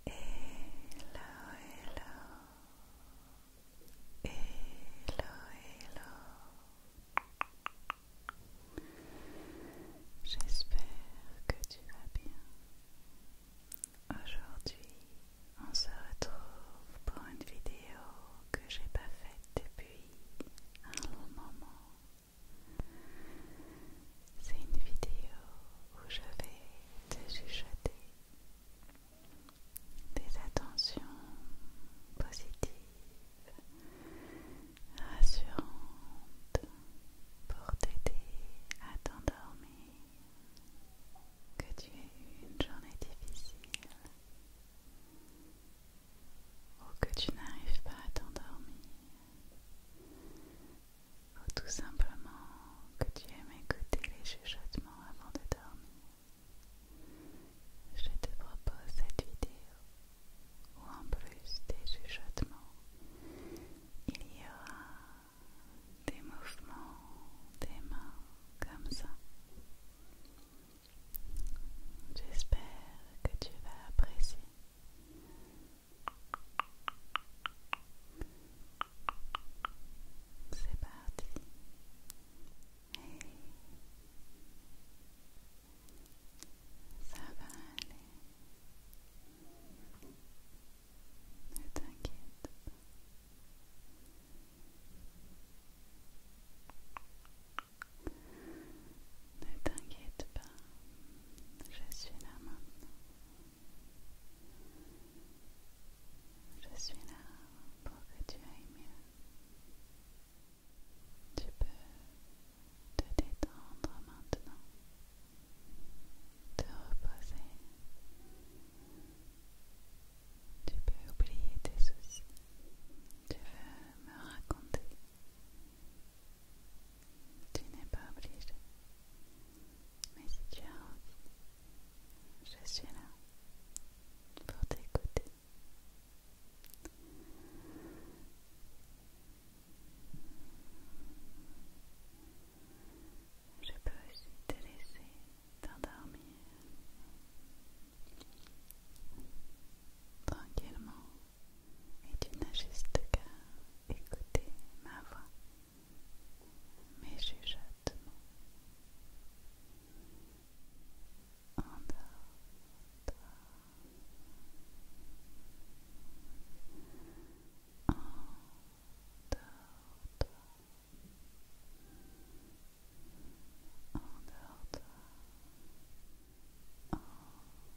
hello. hello J'espère que tu vas bien. Aujourd'hui, on se retrouve pour une vidéo que j'ai pas faite depuis un long moment. C'est une vidéo où je vais te chuchoter des attentions positives, rassurantes pour t'aider à t'endormir. Que tu aies eu une journée difficile ou que tu n'arrives pas à t'endormir ou oh, tout simplement que tu aimes écouter les chuchotements avant de dormir, je te propose cette vidéo où en plus des chuchotements, il y aura des mouvements des mains comme ça. J'espère que tu vas apprécier. C'est parti. Ça va aller. Ne t'inquiète pas. Ne t'inquiète pas, je suis là maintenant. Je suis là pour que tu ailles mieux. Tu peux te détendre maintenant, te reposer. Tu peux oublier tes soucis. Tu veux me raconter tu n'es pas obligé. Mais si tu as je suis là pour t'écouter. Je peux aussi te laisser t'endormir tranquillement et tu n'as juste qu'à écouter ma voix mes j'ai endors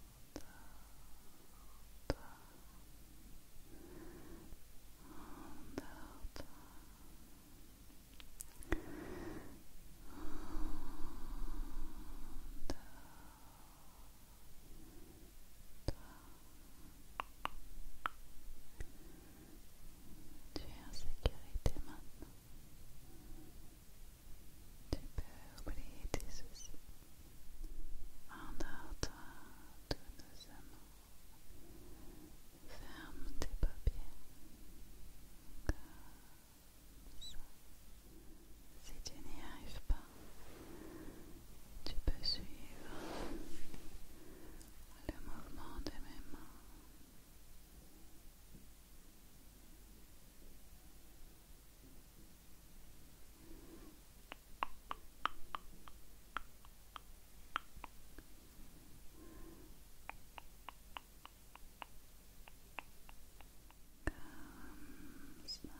Endors-toi. Endors-toi. Tu es en sécurité maintenant. Tu peux oublier tes soucis. Endors-toi Ferme tes papiers. Comme ça. Si tu n'y arrives pas, tu peux suivre le mouvement de mes mains. Comes the voila. Tout doucement,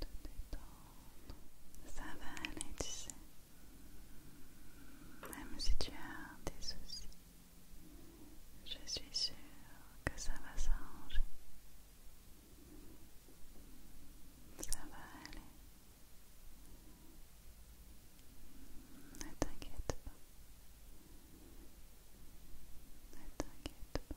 te Ça va aller, tu sais. Même si tu as des soucis, je suis sûre que ça va s'arranger. Ça va aller. Ne t'inquiète pas. Ne t'inquiète pas.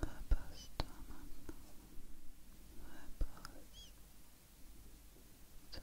Repose-toi maintenant. Repose. Toi. toi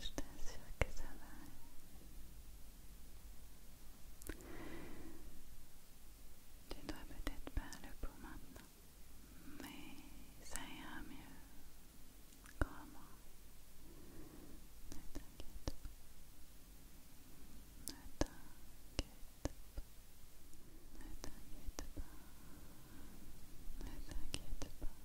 Je t'assure que ça va aller. Tu dois peut-être pas le pour maintenant, mais ça ira mieux. Crois-moi. Ne t'inquiète pas. Ne t'inquiète pas. Ne t'inquiète pas. Ne t'inquiète pas.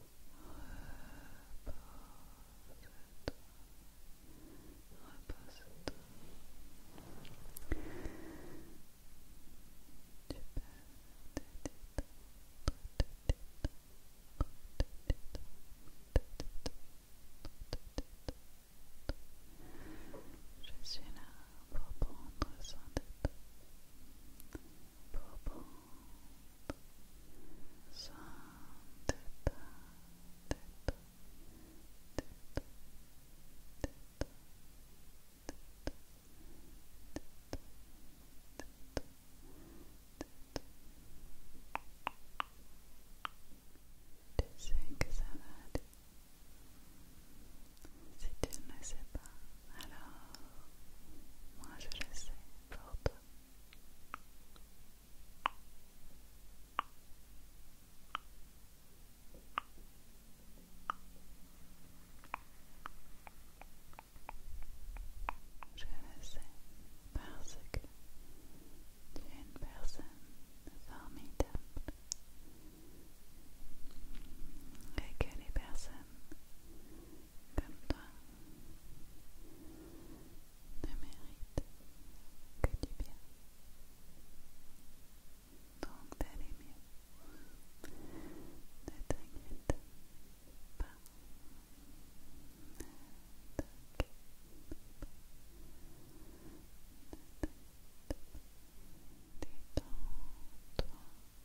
Je suis là pour prendre soin de pour sans Tu sais que ça va Si tu ne sais pas, alors, moi je le sais Je le sais parce que tu es une personne formidable et que les personnes comme toi ne mérite que du bien. Donc d'aller mieux. Ne t'inquiète pas. Ne t'inquiète pas. ne Détends-toi.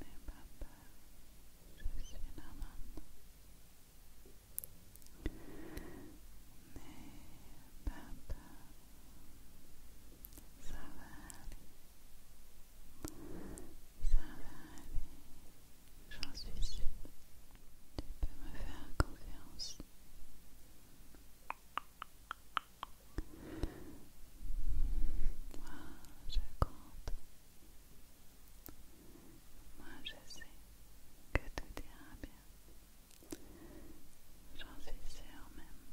Mais papa, je suis là maintenant. ça va Ça va aller, j'en suis sûre. Tu peux me faire confiance. Moi, je compte. Moi je sais que tout ira bien. J'en suis sûre même.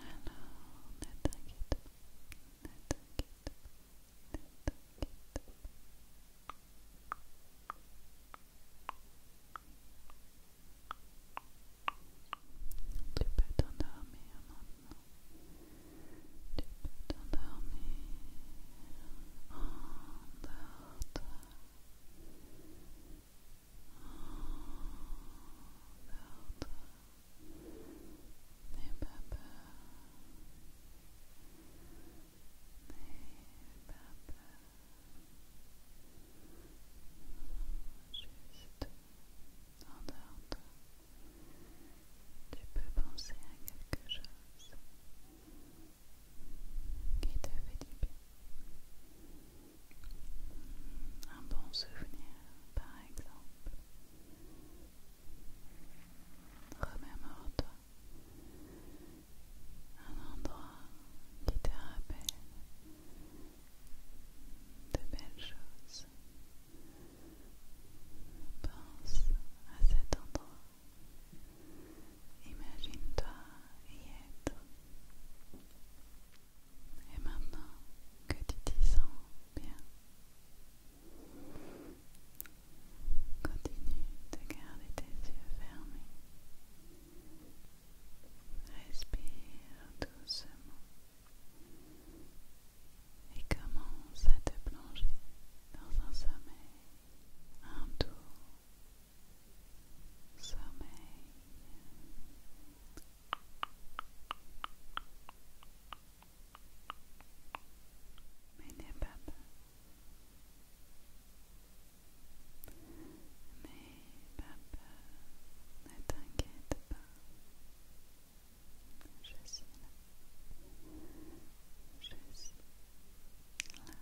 Alors ne t'inquiète pas. Ne t'inquiète pas. Ne t'inquiète pas. Tu peux t'endormir maintenant. Tu peux t'endormir. Endors-toi. Endors-toi. N'aie pas peur. N'aie pas peur. Juste endors-toi. Tu peux penser à quelque chose qui te fait du bien. Un bon souvenir, par exemple. Remémore-toi un endroit qui te rappelle de belles choses, Pense à cet endroit. Imagine-toi y être. Et maintenant que tu t'y sens bien, continue de garder tes yeux fermés. Respire doucement et commence à te plonger dans un sommeil, un tour sommeil. Mais n'aie pas peur. pas peur. Ne t'inquiète pas. Je suis là. Je suis là.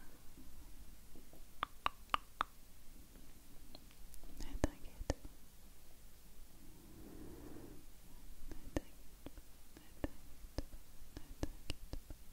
Ne t'inquiète pas. Ne t'inquiète pas. Ne t'inquiète pas. Ne t'inquiète pas. Ne t'inquiète pas.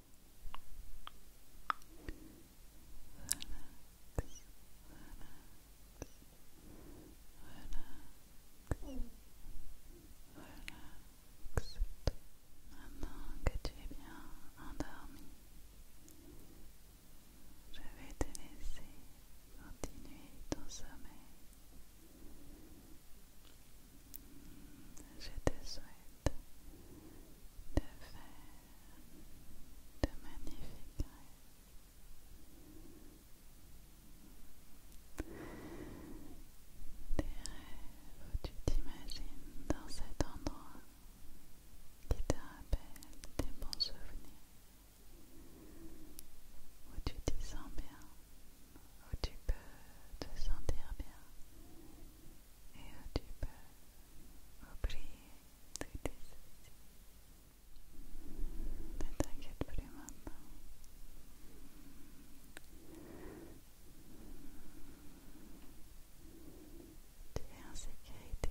relaxe. Maintenant que tu es bien endormi, je vais te laisser continuer ton sommeil. Je te souhaite de faire de magnifiques rêves. Des rêves où tu t'imagines dans cet endroit qui te rappelle tes bons souvenirs. Où tu te sens bien, où tu peux te sentir bien, et où tu peux oublier tous tes soucis. Ne t'inquiète plus maintenant. Tu es en sécurité.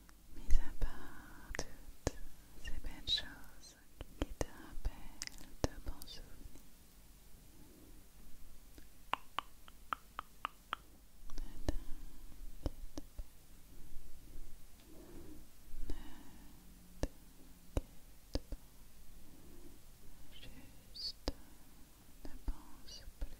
Mise à part toutes ces belles choses qui te rappellent de bons souvenirs. Ne t'inquiète pas. Ne t'inquiète pas. Juste ne pense plus